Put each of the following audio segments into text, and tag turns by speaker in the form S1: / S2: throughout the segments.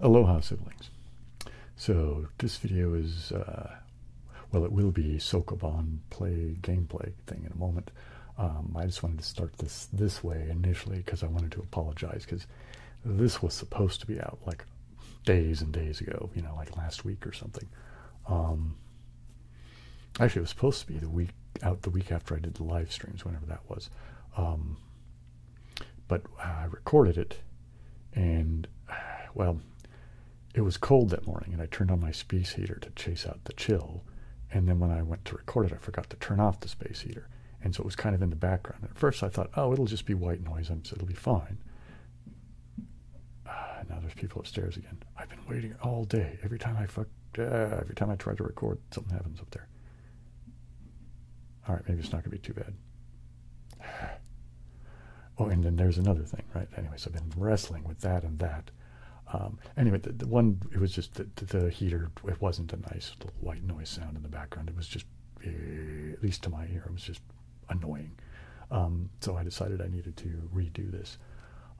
S1: Aloha siblings. So this video is, uh, well it will be Sokoban play gameplay thing in a moment. Um, I just wanted to start this this way initially because I wanted to apologize because this was supposed to be out like days and days ago, you know, like last week or something. Um, actually, it was supposed to be the week out the week after I did the live streams, whenever that was. Um, but I recorded it, and well, it was cold that morning, and I turned on my space heater to chase out the chill. And then when I went to record it, I forgot to turn off the space heater. And so it was kind of in the background. at first I thought, oh, it'll just be white noise. It'll be fine. Ah, now there's people upstairs again. I've been waiting all day. Every time I fuck, ah, every time I try to record, something happens up there. All right, maybe it's not going to be too bad. Oh, and then there's another thing, right? Anyway, so I've been wrestling with that and that. Um, anyway, the, one, it was just the, heater, it wasn't a nice white noise sound in the background. It was just at least to my ear, it was just annoying. Um, so I decided I needed to redo this.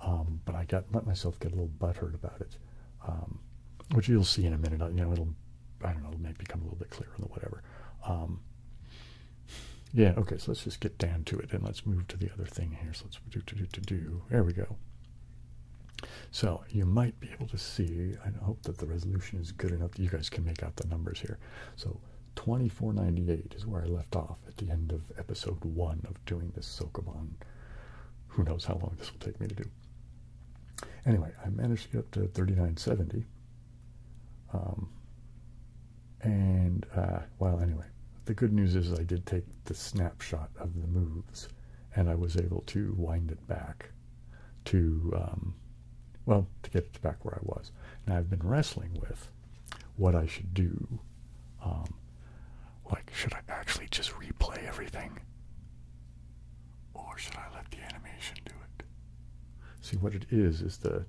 S1: Um, but I got let myself get a little butthurt about it, um, which you'll see in a minute. Uh, you know, it'll, I don't know, it might become a little bit clearer than whatever. yeah, okay, so let's just get down to it and let's move to the other thing here. So let's do, do, do, do. There we go. So you might be able to see, I hope that the resolution is good enough that you guys can make out the numbers here. So 2498 is where I left off at the end of episode one of doing this Sokoban. Who knows how long this will take me to do. Anyway, I managed to get to 3970. Um, and, uh, well, anyway, the good news is I did take the snapshot of the moves and I was able to wind it back to, um, well, to get back where I was. And I've been wrestling with what I should do. Um, like, should I actually just replay everything? Or should I let the animation do it? See, what it is, is the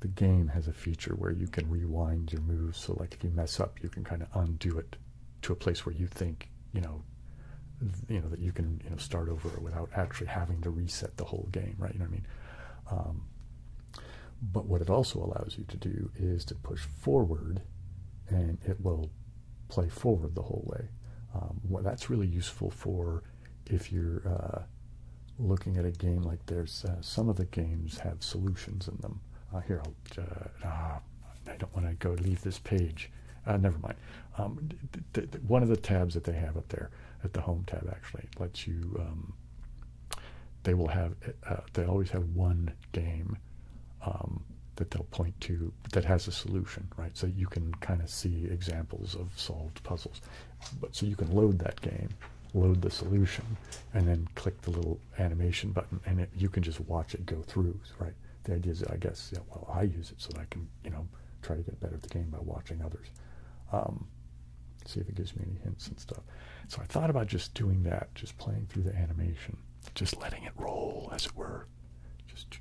S1: the game has a feature where you can rewind your moves. So, like, if you mess up, you can kind of undo it to a place where you think you know you know that you can start over without actually having to reset the whole game right you know what i mean um, but what it also allows you to do is to push forward and it will play forward the whole way um, that's really useful for if you're uh, looking at a game like there's uh, some of the games have solutions in them uh, here ah, i don't want to go leave this page never mind um, one of the tabs that they have up there at the home tab actually lets you. Um, they will have. Uh, uh, they always have one game um, that they'll point to that has a solution, right? So you can kind of see examples of solved puzzles. But so you can load that game, load the solution, and then click the little animation button, and you can just watch it go through right? The idea is, I guess, yeah, well, I use it so that I can, you know, try to get better at the game by watching others. Um, see if it gives me any hints and stuff. So I thought about just doing that, just playing through the animation, just letting it roll, as it were. Just,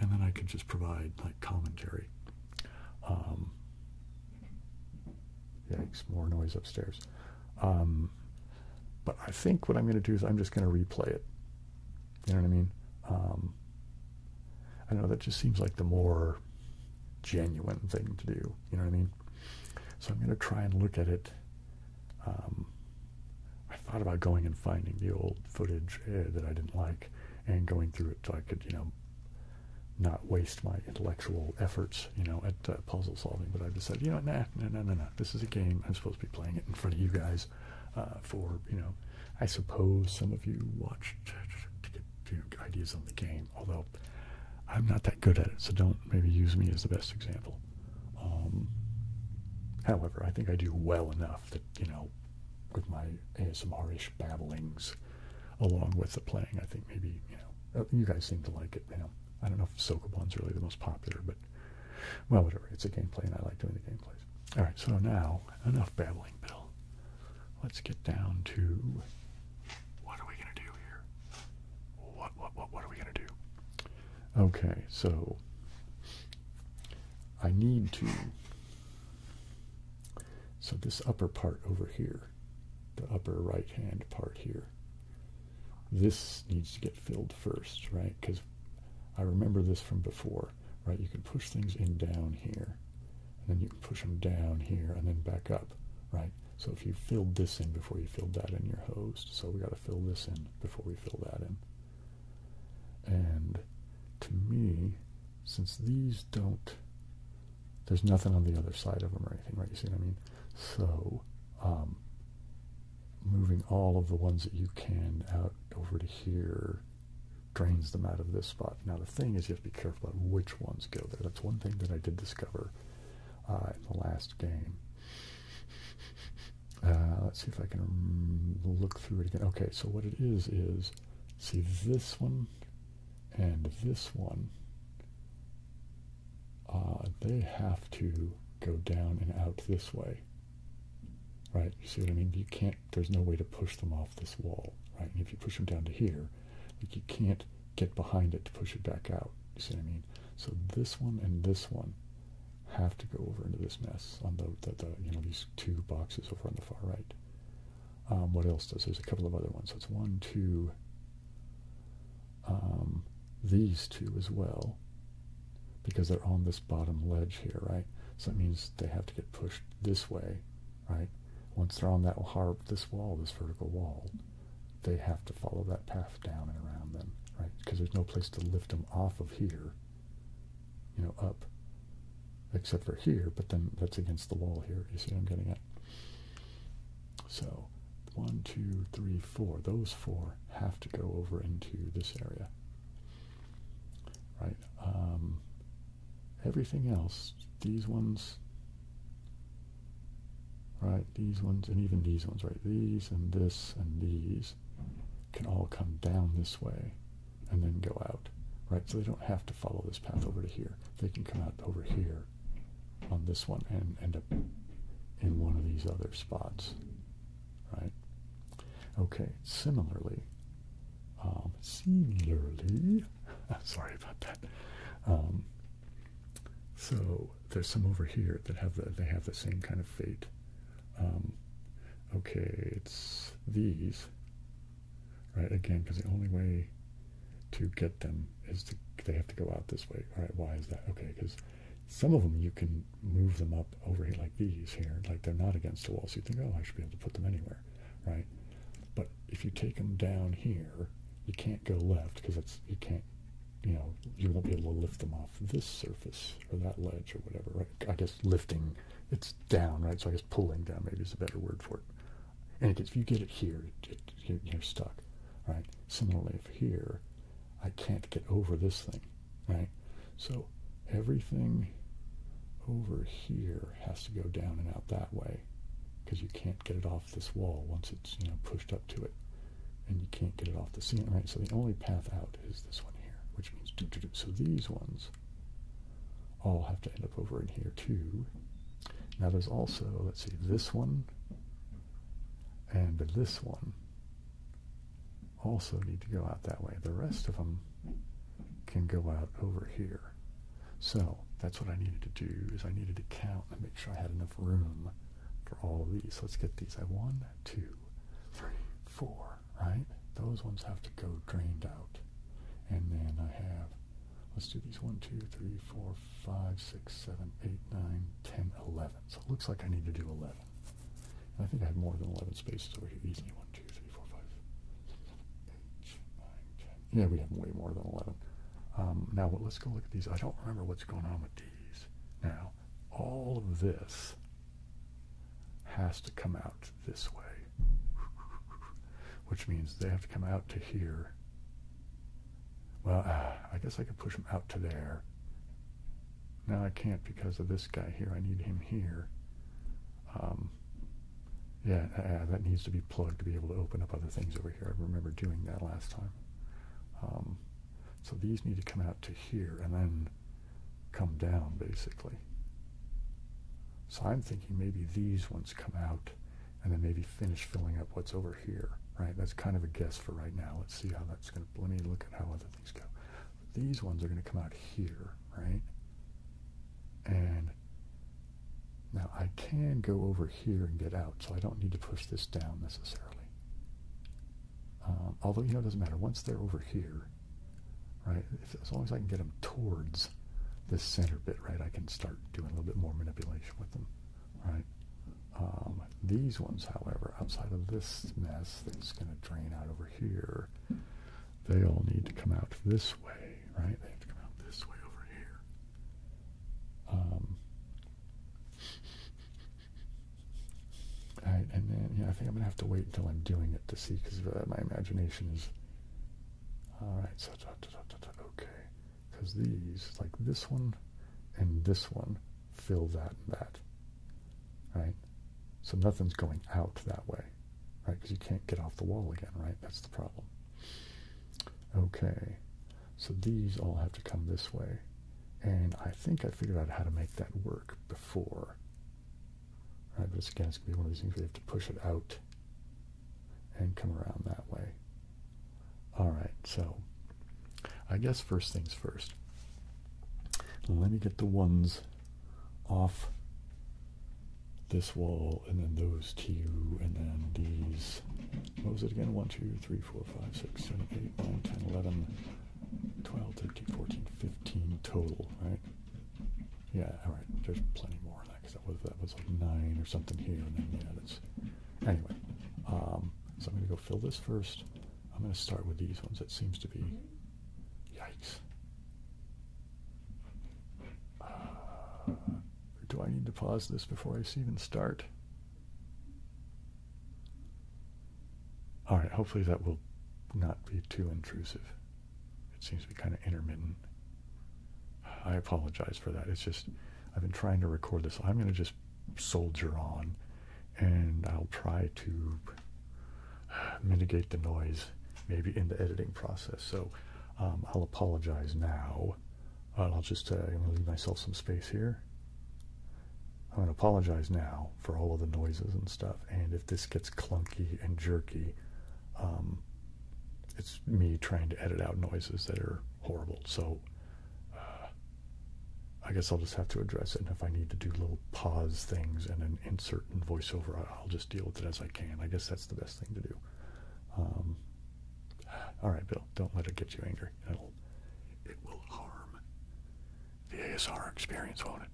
S1: and then I could just provide like commentary. Um, yikes! More noise upstairs. Um, but I think what I'm going to do is I'm just going to replay it. You know what I mean? Um, I know that just seems like the more genuine thing to do. You know what I mean? So I'm going to try and look at it. Um, I thought about going and finding the old footage eh, that I didn't like and going through it so I could, you know, not waste my intellectual efforts, you know, at uh, puzzle solving. But I decided, you know, nah, nah, nah, nah, nah. This is a game. I'm supposed to be playing it in front of you guys uh, for, you know, I suppose some of you watched to get ideas on the game, although I'm not that good at it, so don't maybe use me as the best example. Um, however, I think I do well enough that, you know, with my ASMR-ish babblings along with the playing, I think maybe, you know, uh, you guys seem to like it, you know. I don't know if Sokoban's really the most popular, but well, whatever. It's a gameplay, and I like doing the gameplays. All right. So now, enough babbling, Bill. Let's get down to what are we gonna do here? What what what what are we gonna do? Okay. So I need to. So this upper part over here, the upper right hand part here, this needs to get filled first, right? Because I remember this from before right? You can push things in down here, and then you can push them down here, and then back up, right? So if you filled this in before you filled that in your host. so we got to fill this in before we fill that in. And to me, since these don't, there's nothing on the other side of them or anything, right? You see what I mean? So um, moving all of the ones that you can out over to here drains them out of this spot. Now the thing is you have to be careful about which ones go there. That's one thing that I did discover uh, in the last game. Uh, let's see if I can look through it again. Okay, so what it is is, see this one and this one, uh, they have to go down and out this way. Right? You see what I mean? You can't, there's no way to push them off this wall, right? And if you push them down to here, you can't get behind it to push it back out. You see what I mean? So this one and this one have to go over into this mess on the, the, you know, these two boxes over on the far right. Um, what else does? There's a couple of other ones. So it's one, two, um, these two as well because they're on this bottom ledge here, right? So that means they have to get pushed this way, right? Once they're on that hard, this wall, this vertical wall, they have to follow that path down and around them, right? Because there's no place to lift them off of here, you know, up, except for here, but then that's against the wall here. You see what I'm getting at? So one, two, three, four. Those four have to go over into this area, right? Um, everything else, these ones, right? These ones and even these ones, right? These and this and these can all come down this way and then go out, right? So they don't have to follow this path over to here. They can come out over here on this one and end up in one of these other spots, right? Okay, similarly, um, similarly, sorry about that. Um, so there's some over here that have the they have the same kind of fate. Um, okay, it's these, right? Again, because the only way to get them is they have to go out this way. All right, why is that? Okay, because some of them you can move them up over here like these here, like they're not against the wall. So you think, oh, I should be able to put them anywhere, right? But if you take them down here, you can't go left because it's you can't, you know, you won't be able to lift them off this surface or that ledge or whatever. Right? I guess lifting, it's down, right? So I guess pulling down maybe is a better word for it. And if you get it here, you're stuck, right? Similarly, if here, I can't get over this thing, right? So everything over here has to go down and out that way because you can't get it off this wall once it's you know pushed up to it and you can't get it off the ceiling right so the only path out is this one here which means do do do so these ones all have to end up over in here too now there's also let's see this one and this one also need to go out that way. The rest of them can go out over here. So that's what I needed to do is I needed to count and make sure I had enough room for all these. Let's get these. I one, two, three, four, right? Those ones have to go drained out. And then I have, let's do these one, two, three, four, five, six, seven, eight, nine, ten, eleven. So it looks like I need to do 11. I think I have more than 11 spaces over here. Easily. 1, Yeah, we have way more than 11. Um, now, let's go look at these. I don't remember what's going on with these. Now, all of this has to come out this way, which means they have to come out to here. Well, uh, I guess I could push them out to there. Now I can't because of this guy here. I need him here. Um, yeah, uh, uh, that needs to be plugged to be able to open up other things over here. I remember doing that last time. Um, so these need to come out to here and then come down, basically. So I'm thinking maybe these ones come out and then maybe finish filling up what's over here, right? That's kind of a guess for right now. Let's see how that's going to, let me look at how other these ones are going to come out here, right? And now I can go over here and get out, so I don't need to push this down necessarily. Um, although, you know, it doesn't matter. Once they're over here, right, as long as I can get them towards this center bit, right, I can start doing a little bit more manipulation with them, right? Um, these ones, however, outside of this mess that's going to drain out over here, they all need to come out this way, right? They have to come out this way over here. Um, and then yeah, I think I'm gonna have to wait until I'm doing it to see because uh, my imagination is. All right, so okay, because these like this one, and this one fill that and that right? So nothing's going out that way, right? Because you can't get off the wall again, right? That's the problem. Okay, so these all have to come this way. And I think I figured out how to make that work before. Right, but it's, again, it's going to be one of these things where you have to push it out and come around that way. All right, so I guess first things first. Let me get the ones off this wall and then those two and then these what was it again 1 2 3 4 5 6 7 8 9 10 11 12 13 14 15 total right yeah all right there's plenty more of that because that was like nine or something here and then yeah that's anyway um, so i'm going to go fill this first i'm going to start with these ones that seems to be mm-hmm. Yikes. Uh, do I need to pause this before I even start? All right, hopefully that will not be too intrusive. It seems to be kind of intermittent. I apologize for that. It's just, I've been trying to record this. I'm going to just soldier on and I'll try to mitigate the noise maybe in the editing process. So um, I'll apologize now. I'll just uh, leave myself some space here. I'm gonna apologize now for all of the noises and stuff. And if this gets clunky and jerky, um, it's me trying to edit out noises that are horrible. So uh, I guess I'll just have to address it. And if I need to do little pause things and an insert voiceover. I'll just deal with it as I can. I guess that's the best thing to do. Um, all right, Bill, don't let it get you angry. It'll, it will harm the ASR experience, won't it?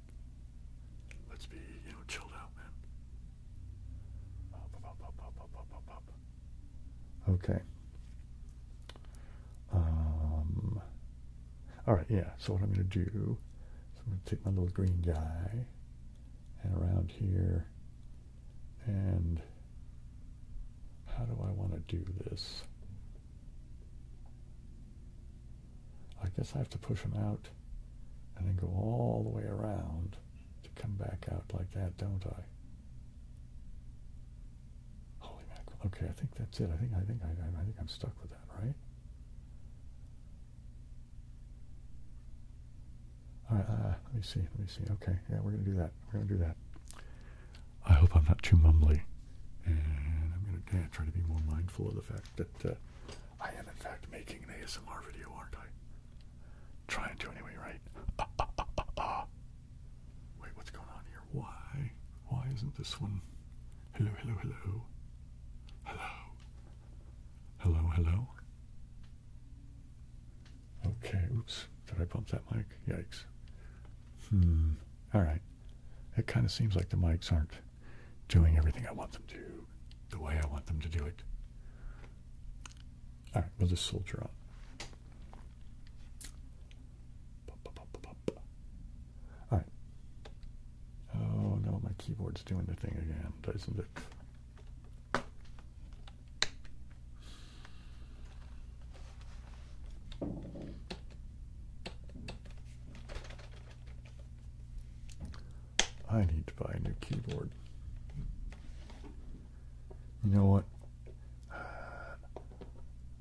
S1: Let's be, you know, chilled out, man. Okay. Um, all right, yeah. So what I'm going to do I'm going to take my little green guy and around here and how do I want to do this? I guess I have to push him out and then go all the way around to come back out like that, don't I? Holy mackerel. Okay, I think that's it. I think I think I think I'm stuck with that, right? All right. Uh, let me see. Let me see. Okay. Yeah, we're going to do that. We're going to do that. I hope I'm not too mumbly. And I'm going to try to be more mindful of the fact that uh, I am, in fact, making an ASMR video, aren't I? Trying to anyway, right? Wait, what's going on here? Why? Why isn't this one? Hello, hello, hello. Hello. Hello, hello. Okay, oops. Did I bump that mic? Yikes. Hmm. All right. It kind of seems like the mics aren't doing everything I want them to, the way I want them to do it. All right, we'll just soldier on. All right. Oh no, my keyboard's doing the thing again, doesn't it? I need to buy a new keyboard. You know what?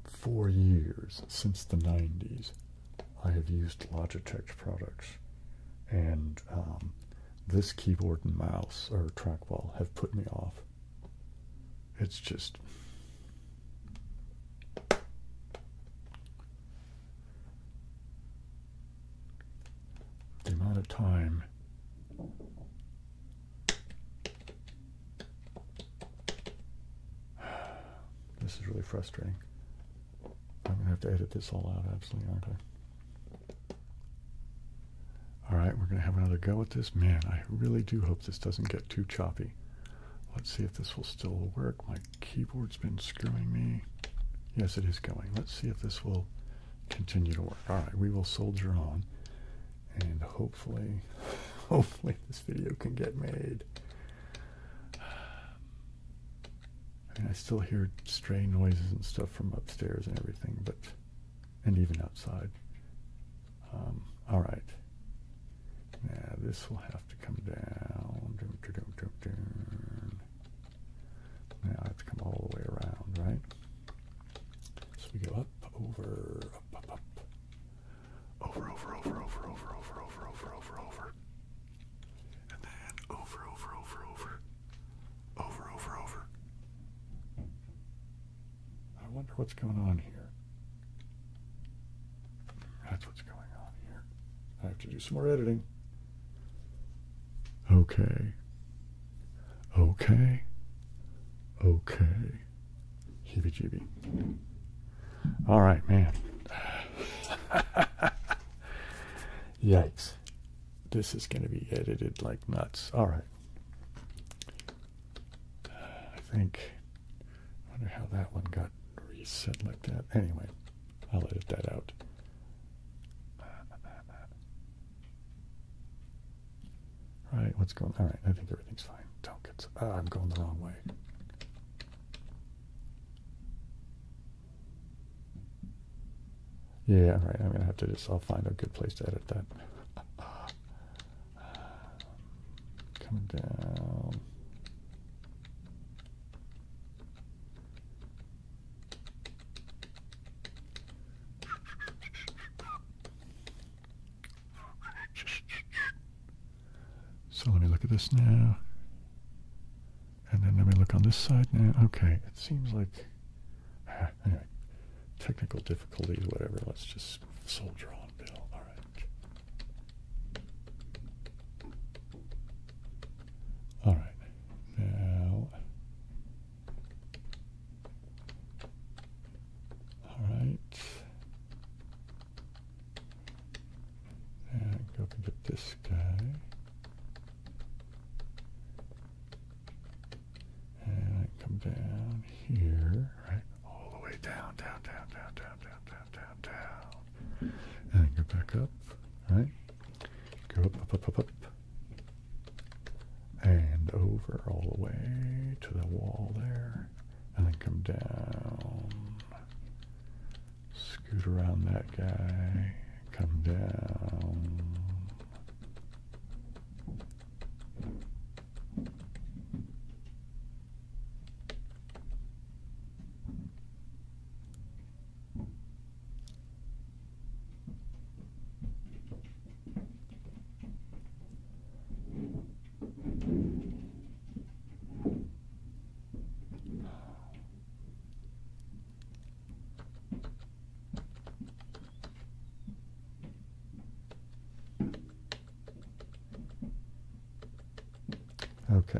S1: Four years since the 90s. I have used Logitech products, and um, this keyboard and mouse or trackball have put me off. It's just. The amount of time this is really frustrating. I'm going to have to edit this all out, absolutely, aren't I? All right, we're going to have another go at this. Man, I really do hope this doesn't get too choppy. Let's see if this will still work. My keyboard's been screwing me. Yes, it is going. Let's see if this will continue to work. All right, we will soldier on. And hopefully, hopefully this video can get made. I mean, I still hear stray noises and stuff from upstairs and everything, but, and even outside. Um, all right. Now, this will have to come down. Dun, dun, dun, dun, Now, I have to come all the way around, right? So we go up, over, up, up, up. Over, over, over, over, over, over, over, over, over, over. And then over, over, over, over. Over, over, over. I wonder what's going on here. That's what's going on here. I have to do some more editing. Okay. Okay. Okay. Heebie jeebie. All right, man. Yikes. This is going to be edited like nuts. All right. I think, I wonder how that one got reset like that. Anyway, I'll edit that out. All right, what's going All right, I think everything's fine. Don't get, ah, I'm going the wrong way. Yeah, right. I'm going to have to just, I'll find a good place to edit that. Coming down. So let me look at this now. And then let me look on this side now. Okay, it seems like, anyway, technical difficulties, whatever. Let's just soldier on, Bill. All right. All right. Now, all right. And go up and this guy. And come down here, right? All the way down, down, down, down, down, down, down, down, down. And go back up, right? Go up, up, up, up, up. And over all the way to the wall there. And then come down Scoot around that guy. Come down. Okay.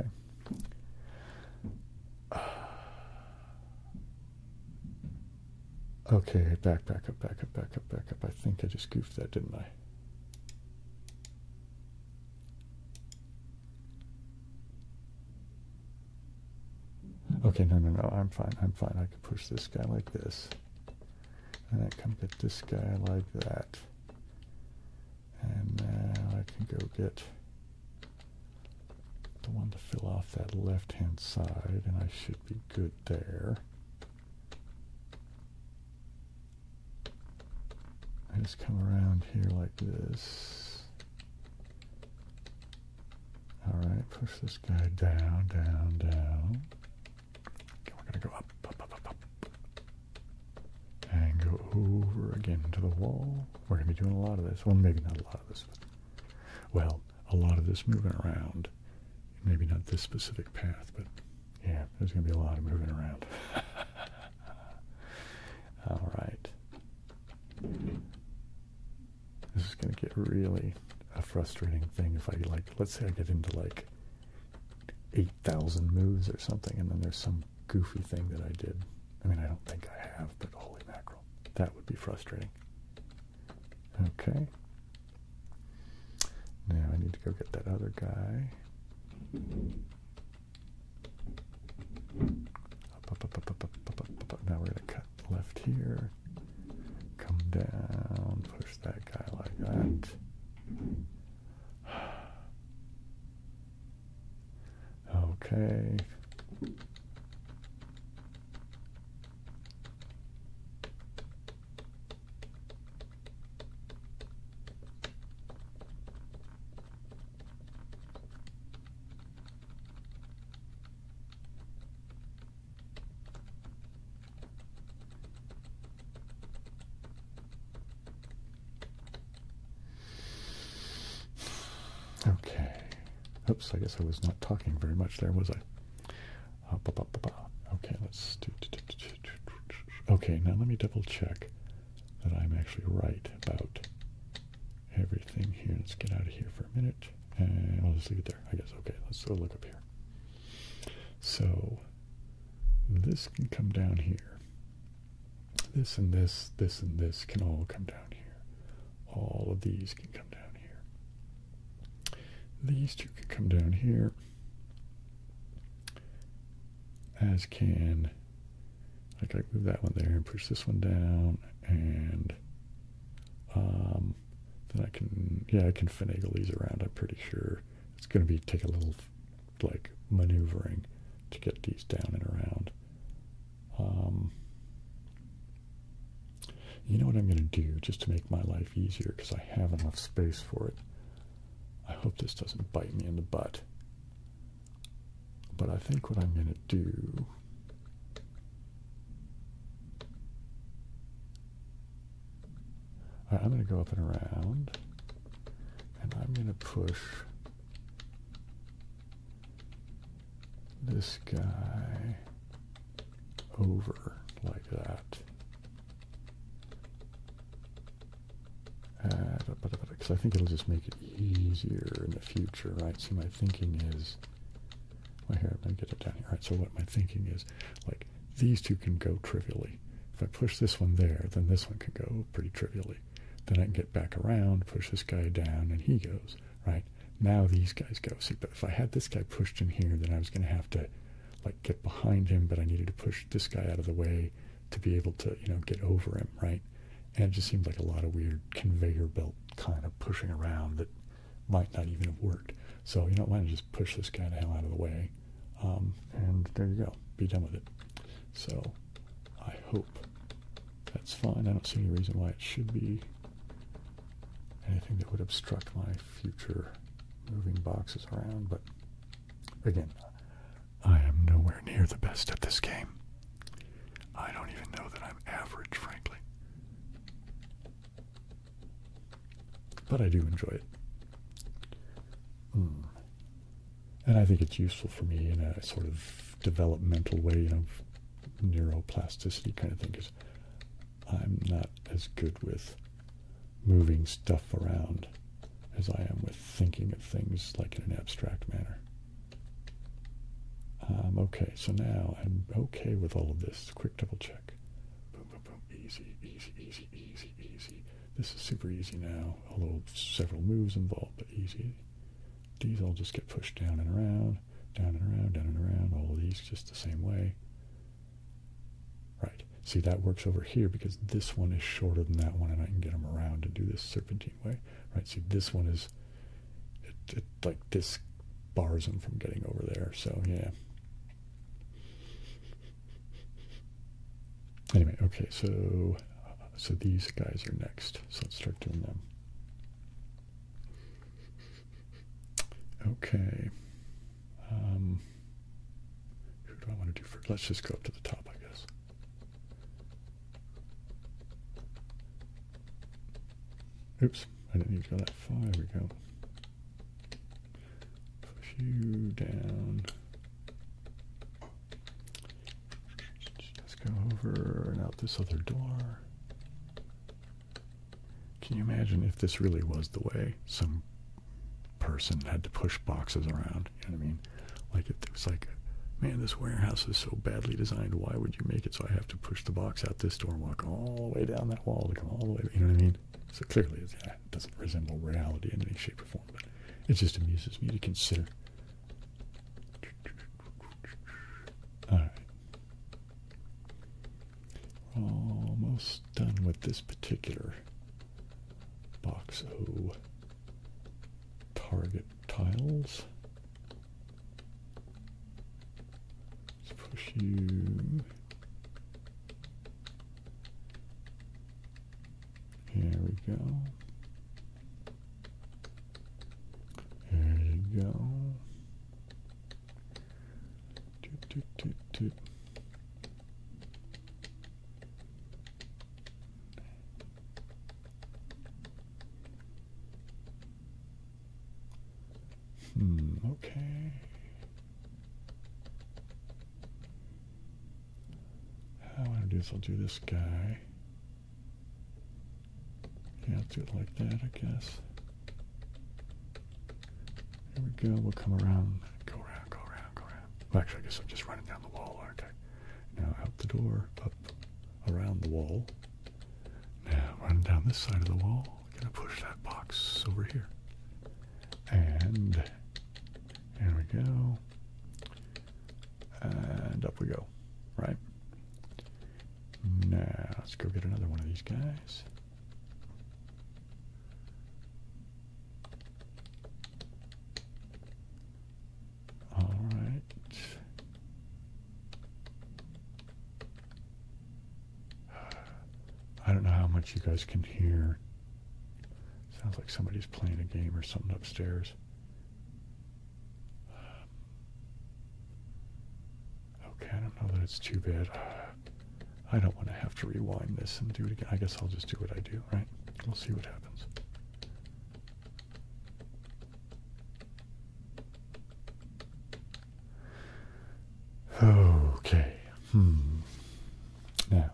S1: Okay, back, back up, back up, back back I think I just goofed that, didn't I? Okay, no, no, no, I'm fine, I'm fine. I can push this guy like this. And I can get this guy like that. And now I can go get the one to fill off that left-hand side, and I should be good there. I just come around here like this. Alright, push this guy down, down, down. we're gonna go up, up, up, up, up. And go over again to the wall. We're gonna be doing a lot of this. Well, maybe not a lot of this. well, a lot of this moving around. Maybe not this specific path, but yeah, there's gonna be a lot of moving around. Uh, all right. This is going to get really a frustrating thing if I like, let's say I get into like 8,000 moves or something, and then there's some goofy thing that I did. I mean, I don't think I have, but holy mackerel. That would be frustrating. Okay. Now I need to go get that other guy. Up, up, up, up, up, up, Now we're going to cut left here. Come down. Push that guy like that. Okay. Okay. Oops, I guess I was not talking very much there, was I? Uh, okay, let's do. Okay, now let me double check that I'm actually right about everything here. Let's get out of here for a minute. And I'll just leave it there, I guess. Okay, let's go look up here. So this can come down here. This and this, this and this can all come down here. All of these can come down here. These two can come down here. As can I can move that one there and push this one down and um, then I can yeah I can finagle these around I'm pretty sure it's gonna be take a little like maneuvering to get these down and around um, you know what I'm gonna do just to make my life easier because I have enough space for it I hope this doesn't bite me in the butt but I think what I'm going to do I'm going to go up and around and I'm going to push this guy over like that. Uh, because I think it'll just make it easier in the future, right? So my thinking is, well, here, let get it down right? So what my thinking is, like, these two can go trivially. If I push this one there, then this one can go pretty trivially. Then I can get back around, push this guy down, and he goes, right? Now these guys go. See, but if I had this guy pushed in here, then I was going to have to, like, get behind him, but I needed to push this guy out of the way, to be able to, you know, get over him, right? And it just seemed like a lot of weird conveyor belt kind of pushing around that might not even have worked. So, you don't want to just push this guy to hell out of the way? Um, and there you go. Be done with it. So, I hope that's fine. I don't see any reason why it should be anything that would obstruct my future moving boxes around. But again, I am nowhere near the best at this game. I don't even know that I'm average, frankly. But I do enjoy it. Hmm. And I think it's useful for me in a sort of developmental way, you know, neuroplasticity kind of thing, because I'm not as good with moving stuff around as I am with thinking of things like in an abstract manner. Um, okay, so now I'm okay with all of this. Quick double check. Boom, boom, boom. Easy, easy, easy, easy, easy. This is super easy now, although several moves involved, but easy. These all just get pushed down and around, down and around, down and around. All these just the same way. Right. See, that works over here because this one is shorter than that one, and I can get them around and do this serpentine way right? See, this one is, it, like this bars them from getting over there. So yeah. Anyway, okay, so so these guys are next. So let's start doing them. Okay. Um, who do I want to do first? Let's just go up to the top, I guess. Oops, I didn't need to go that far. we go. Push you down. Let's go over and out this other door. Can you imagine if this really was the way some person had to push boxes around? You know what I mean? Like it was like, man, this warehouse is so badly designed. Why would you make it so I have to push the box out this door and walk all the way down that wall to come all the way? You know what I mean? So clearly, it doesn't resemble reality in any shape or form. But it just amuses me to consider. All right. We're almost done with this particular box. Oh, target tiles. Let's push you Here we go. There you go. Toot, toot, toot, toot. Hmm, okay. I want to do this, I'll do this guy. Yeah, I'll do it like that, I guess. Here we go. We'll come around. Go around, go around, go around. Well, actually, I guess I'm just running down the wall, aren't I? Now out the door, up around the wall. Now run down this side of the wall. Gonna push that box over here. And there we go. And up we go. Right? Now let's go get another one of these guys. All right. I don't know how much you guys can hear. Sounds like somebody's playing a game or something upstairs. Um, okay, I don't know that it's too bad. I don't want to have to rewind this and do it again. I guess I'll just do what I do, right? We'll see what happens. Okay. Hmm. Now,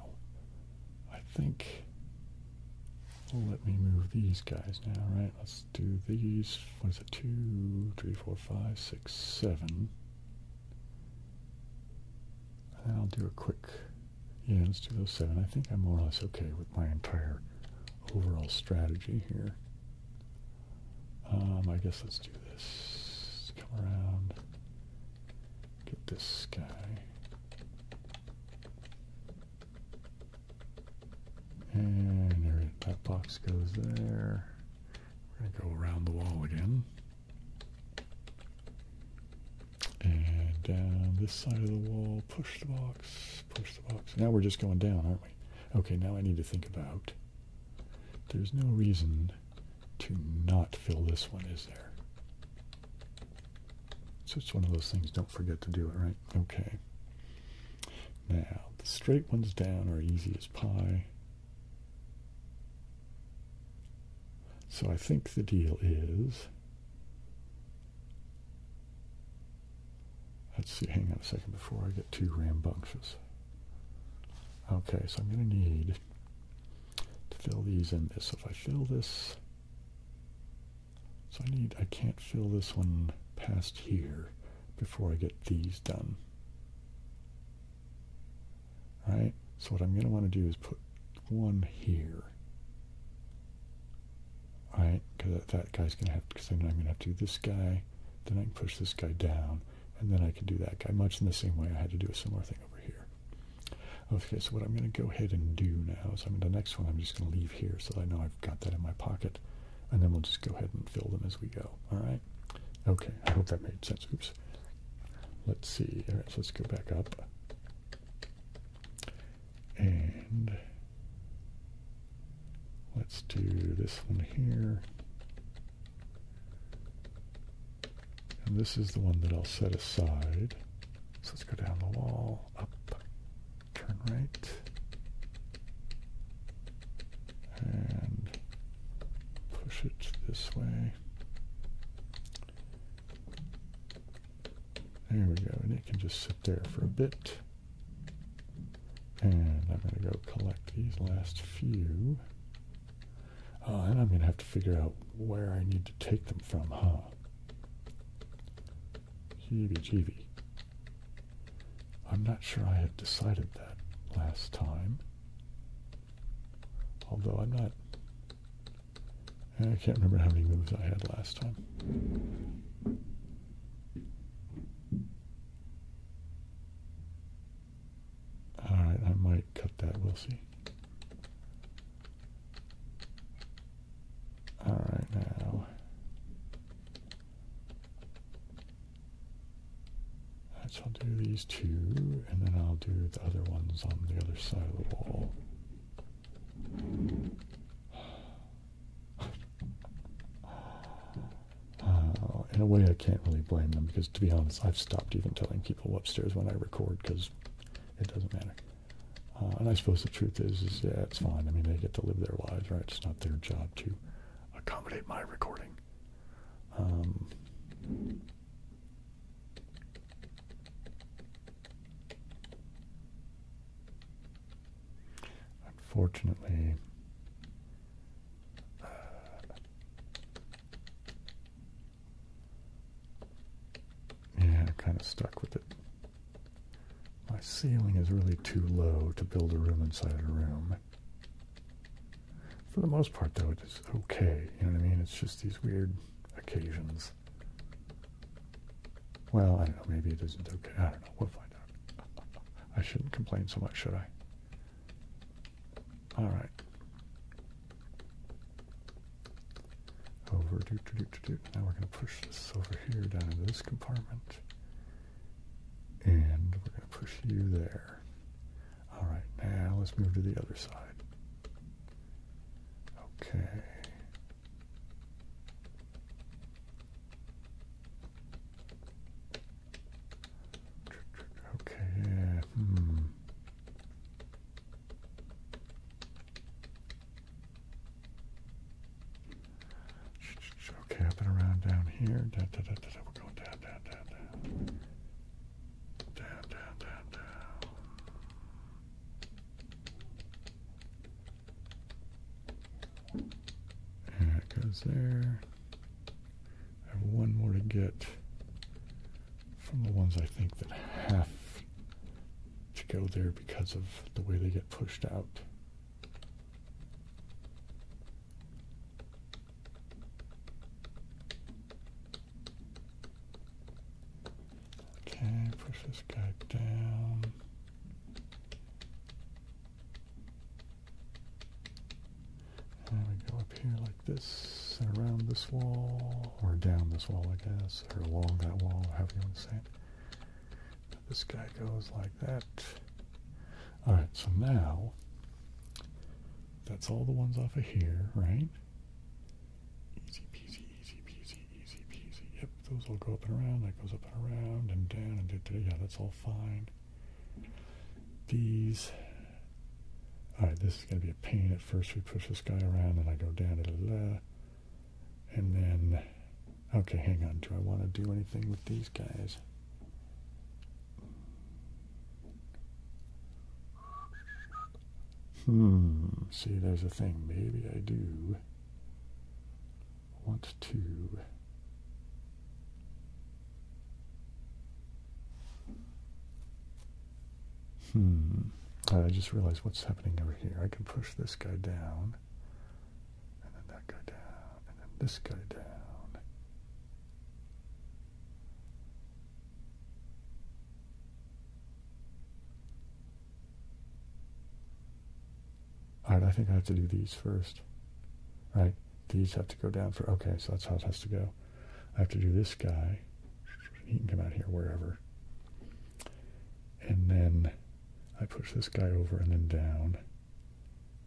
S1: I think. Well, let me move these guys now, right? Let's do these. What is it? Two, three, four, five, six, seven. And I'll do a quick yeah, let's do those seven. I think I'm more or less okay with my entire overall strategy here. Um, I guess let's do this. Come around. Get this guy. And that box goes there. We're going to go around the wall again. And down uh, this side of the wall, push the box, push the box. Now we're just going down, aren't we? Okay, now I need to think about. There's no reason to not fill this one, is there? So it's one of those things, don't forget to do it, right? Okay. Now, the straight ones down are easy as pie. So I think the deal is Let's see, hang on a second before I get too rambunctious. Okay, so I'm going to need to fill these in this. So if I fill this, so I need, I can't fill this one past here before I get these done. All right, so what I'm going to want to do is put one here. Right? Because that guy's going to have, because I'm going to have to do this guy, then I can push this guy down, and then I can do that guy, much in the same way I had to do a similar thing over here. Okay, so what I'm going to go ahead and do now is I'm in the next one I'm just going to leave here so I know I've got that in my pocket, and then we'll just go ahead and fill them as we go. All right? Okay, I hope that made sense. Oops. Let's see. All right, let's go back up. And let's do this one here. And this is the one that I'll set aside. So let's go down the wall, up, turn right. And push it this way. There we go, and it can just sit there for a bit. And I'm going to go collect these last few. Oh, and I'm going to have to figure out where I need to take them from, huh? Heebie-jeebie. I'm not sure I had decided that last time. Although I'm not I can't remember how many moves I had last time. Alright, I might cut that, we'll see. Alright, now. I'll do these two, and then I'll do the other ones on the other side of the wall. Uh, in a way, I can't really blame them because, to be honest, I've stopped even telling people upstairs when I record because it doesn't matter. Uh, and I suppose the truth is, is yeah, it's fine. I mean, they get to live their lives, right? It's not their job to accommodate my recording. Um, Unfortunately, uh, yeah, I'm kind of stuck with it. My ceiling is really too low to build a room inside a room. For the most part, though, it is okay. You know what I mean? It's just these weird occasions. Well, I don't know. Maybe it isn't okay. I don't know. We'll find out. I shouldn't complain so much, should I? All right. Over. Now we're going to push this over here down into this compartment. And we're going to push you there. All right. Now let's move to the other side. Okay. Okay, uh, Hmm. Okay, up around down here. We're going down, down, down. Down, down, down, down. And it goes there. I have one more to get from the ones I think that have to go there because of the way they get pushed out. Okay, push this guy down. And we go up here like this, and around this wall, or down this wall, I guess, or along that wall, Have you want to This guy goes like that. Alright, so now, that's all the ones off of here, right? Easy peasy, easy peasy easy peasy. Yep, those will go up and around. That goes up and around and down and yeah, that's all fine. These. Alright, this is going to be a pain at first. We push this guy around, and I go down, da, da, da, and then. Okay, hang on. Do I want to do anything with these guys? Hmm, see, there's a thing. Maybe I do want to hmm uh, I just realized what's happening over here I can push this guy down and then that guy down and then this guy down all right, I think I have to do these first. right? these have to go down for, okay, so that's how it has to go. I have to do this guy. He can come out here wherever. And then I push this guy over and then down.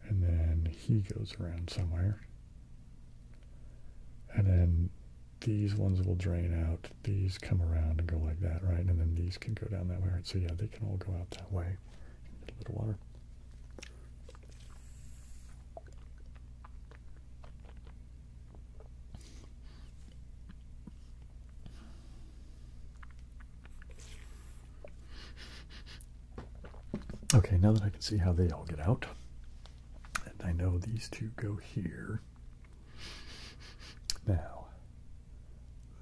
S1: And then he goes around somewhere. And then these ones will drain out these come around and go like that, right? And then these can go down that way, right? So yeah, they can all go out that way. a little water. Okay, now that I can see how they all get out, and I know these two go here, now,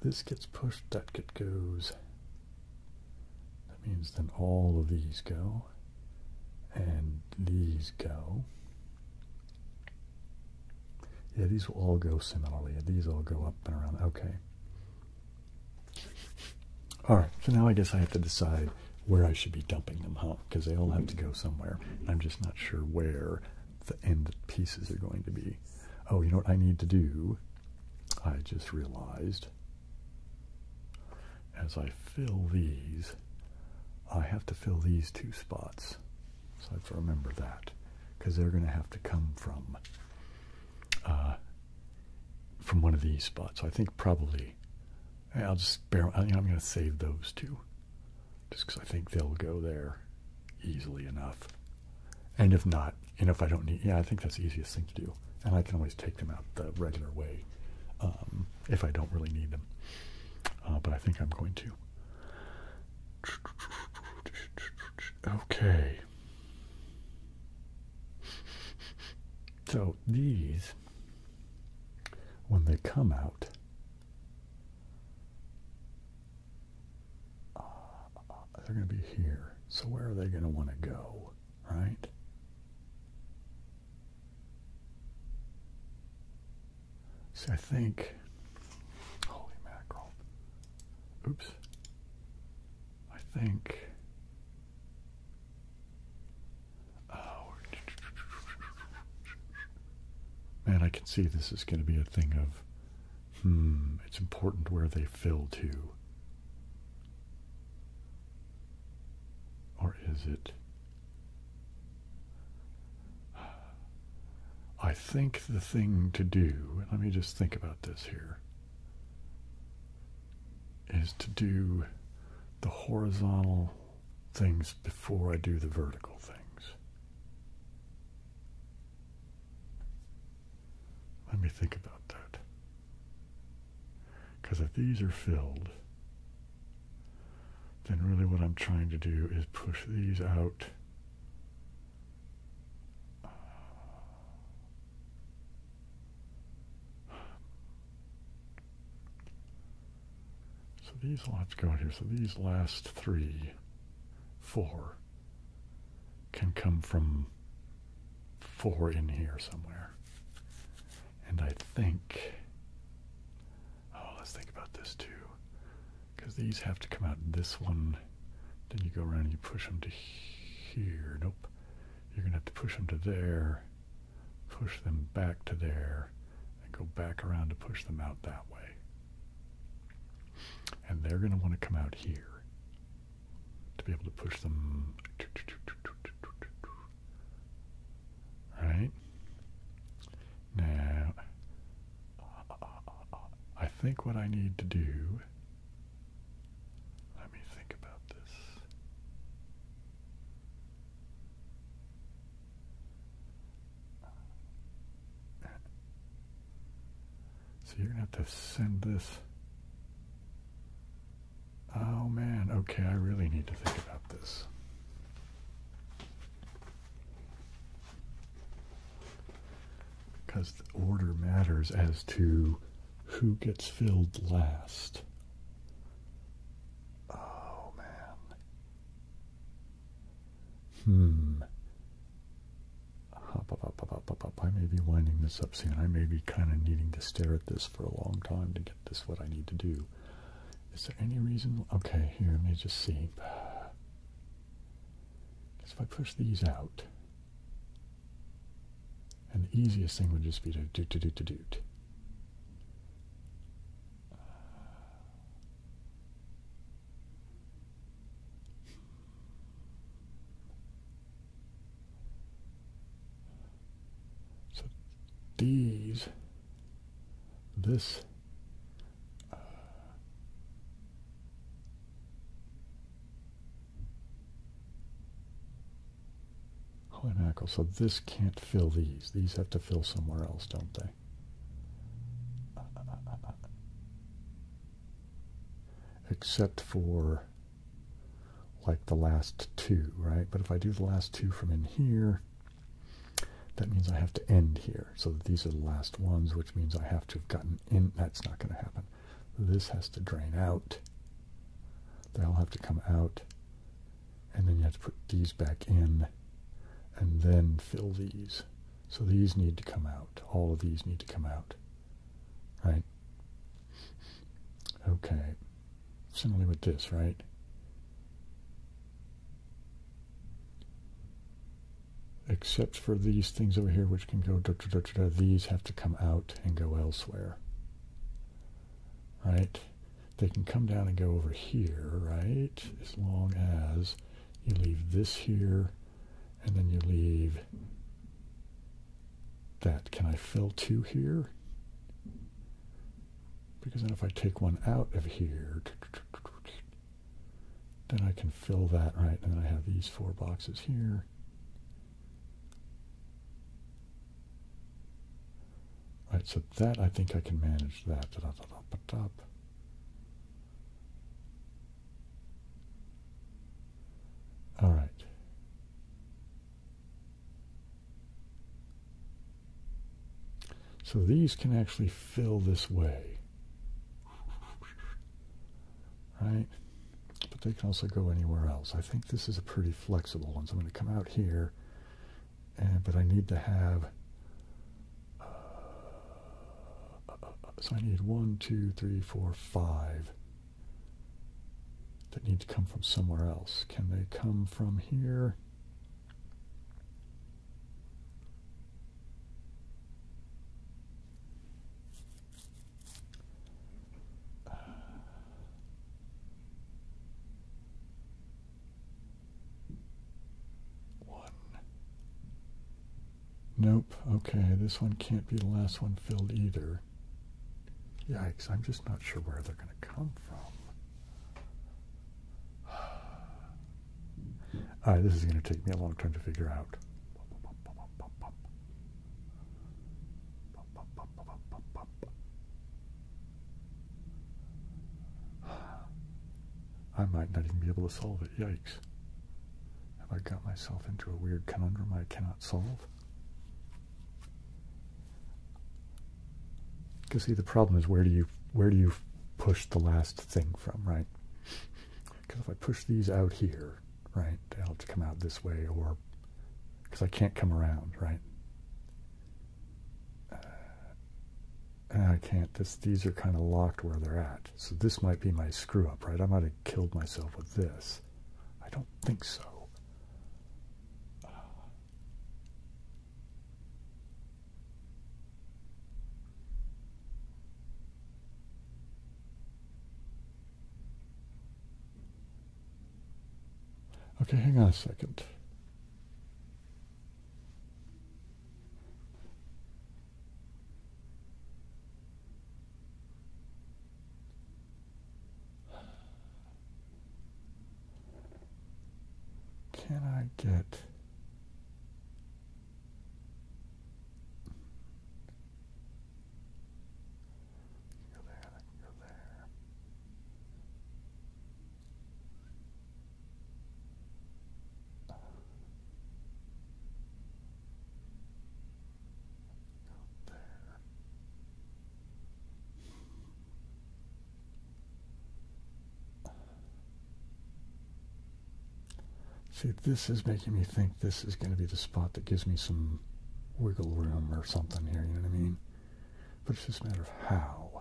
S1: this gets pushed, that gets goes. That means then all of these go, and these go. Yeah, these will all go similarly. These all go up and around. Okay. All right, so now I guess I have to decide where I should be dumping them, huh? Because they all have to go somewhere. I'm just not sure where the end pieces are going to be. Oh, you know what I need to do? I just realized as I fill these, I have to fill these two spots. So I have to remember that because they're going to have to come from uh, from one of these spots. So I think probably I'll just spare. I'm going to save those two just because I think they'll go there easily enough. And if not, and if I don't need, yeah, I think that's the easiest thing to do. And I can always take them out the regular way um, if I don't really need them. Uh, but I think I'm going to. Okay. So these, when they come out, uh, they're going to be here. So where are they going to want to go, right? See, I think, holy mackerel, oops, I think, oh, man, I can see this is going to be a thing of Hmm, it's important where they fill to. Or is it? I think the thing to do, let me just think about this here, is to do the horizontal things before I do the vertical things. Let me think about that. Because if these are filled, then really what I'm trying to do is push these out. So these lots go in here. So these last three four can come from four in here somewhere. And I think, oh, let's think about this too. Because these have to come out this one. Then you go around and you push them to here. Nope. You're going to have to push them to there, push them back to there, and go back around to push them out that way. And they're going to want to come out here to be able to push them. Right? Now, I think what I need to do. Let me think about this. So you're going to have to send this. Oh man, okay, I really need to think about this. Because the order matters as to who gets filled last. Oh man. Hmm. I may be winding this up soon. I may be kind of needing to stare at this for a long time to get this what I need to do. Is there any reason? Okay, here, let me just see. Because if I push these out, and the easiest thing would just be to do to do to do. So these, this, uh, so this can't fill these. These have to fill somewhere else, don't they? Except for like the last two, right? But if I do the last two from in here, that means I have to end here. So these are the last ones, which means I have to have gotten in. That's not going to happen. This has to drain out. They'll have to come out. And then you have to put these back in and then fill these. So these need to come out. All of these need to come out. Right? Okay. Similarly with this, right? Except for these things over here, which can go, da, da, da, these have to come out and go elsewhere. Right? They can come down and go over here, right? As long as you leave this here and then you leave that. Can I fill two here? Because then if I take one out of here, then I can fill that, right? And then I have these four boxes here. Right, so that I think I can manage that. All right. So these can actually fill this way. Right? But they can also go anywhere else. I think this is a pretty flexible one. So I'm going to come out here, and, but I need to have so I need one, two, three, four, five that need to come from somewhere else. Can they come from here? One, Nope. Okay, this one can't be the last one filled either. Yikes, I'm just not sure where they're going to come from. All right, this is going to take me a long time to figure out. I might not even be able to solve it. Yikes. Have I got myself into a weird conundrum I cannot solve? Because see, the problem is where do you where do you push the last thing from, right? Because if I push these out here, right, they'll have to come out this way, or because I can't come around, right? Uh, I can't, these are kind of locked where they're at. So this might be my screw up, right? I might have killed myself with this. I don't think so. okay, hang on a second. Can I get Go there, go there. See, this is making me think this is going to be the spot that gives me some wiggle room or something here, you know what I mean? But it's just a matter of how.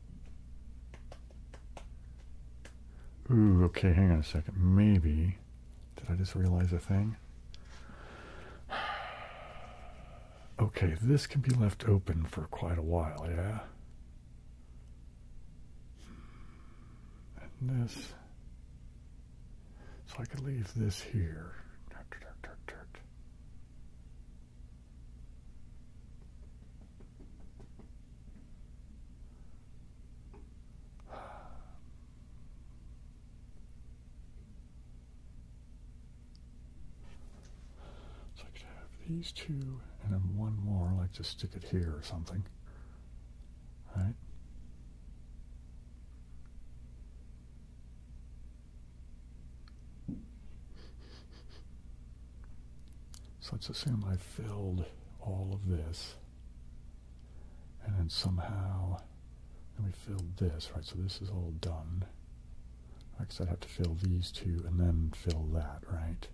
S1: Ooh, okay, hang on a second. Maybe. Did I just realize a thing? Okay, this can be left open for quite a while, yeah? And this. So I could leave this here. So I could have these two and then one more, like to stick it here or something. All right? So let's assume I filled all of this. And then somehow, then we filled this, right? So this is all done. Like I said, I'd have to fill these two and then fill that, right?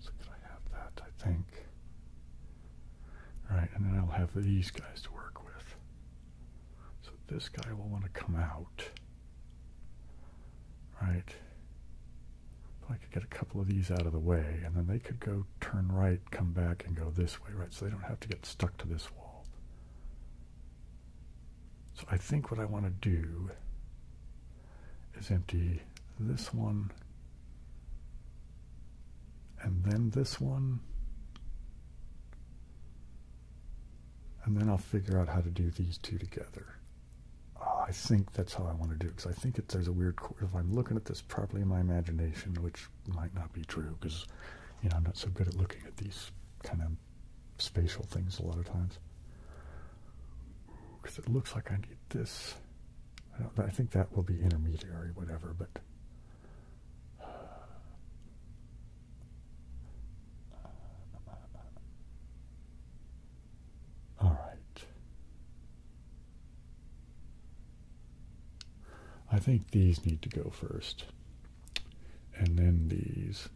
S1: So I have that, I think. All right, and then I'll have these guys to work with. So this guy will want to come out. Right? So I could get a couple of these out of the way, and then they could go turn right, come back, and go this way, right? So they don't have to get stuck to this wall. So I think what I want to do is empty this one, and then this one, and then I'll figure out how to do these two together. Oh, I think that's how I want to do it, because I think it, there's a weird, if I'm looking at this properly in my imagination, which might not be true, because, you know, I'm not so good at looking at these kind of spatial things a lot of times. Because it looks like I need this. I, I think that will be intermediary, whatever, but all right. I think these need to go first. And then these.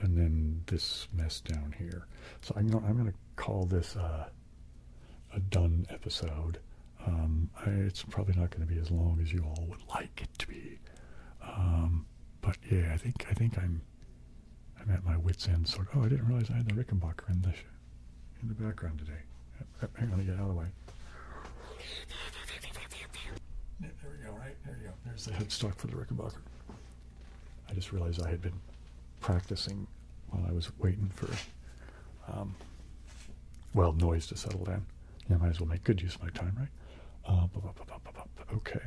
S1: And then this mess down here. So I'm gonna, call this a done episode. Um, it's probably not going to be as long as you all would like it to be. Um, but yeah, I think I think I'm I'm at my wits end. Sort Oh, I didn't realize I had the Rickenbacker in the in the background today. I'm going to get out of the way. there we go. Right there you go. There's the headstock for the Rickenbacker. I just realized I had been practicing while I was waiting for um, well, noise to settle down. Yeah, I might as well make good use of my time, right? Uh, okay.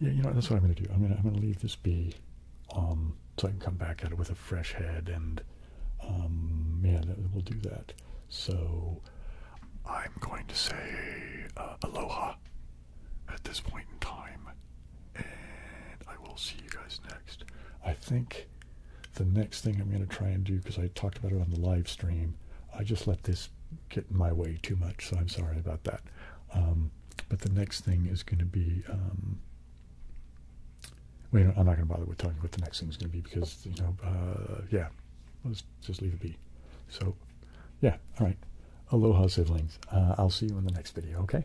S1: Yeah, you know, that's what I'm going to do. I'm going to I'm gonna leave this be um, so I can come back at it with a fresh head, and um, yeah, we'll do that. So I'm going to say uh, aloha at this point in time, and I will see you guys next. I think the next thing I'm going to try and do, because I talked about it on the live stream, I just let this get in my way too much, so I'm sorry about that. Um, but the next thing is going to be. Um, wait, I'm not going to bother with talking about the next thing is going to be because, you know, uh, yeah, let's just leave it be. So, yeah, all right. Aloha, siblings. Uh, I'll see you in the next video, okay?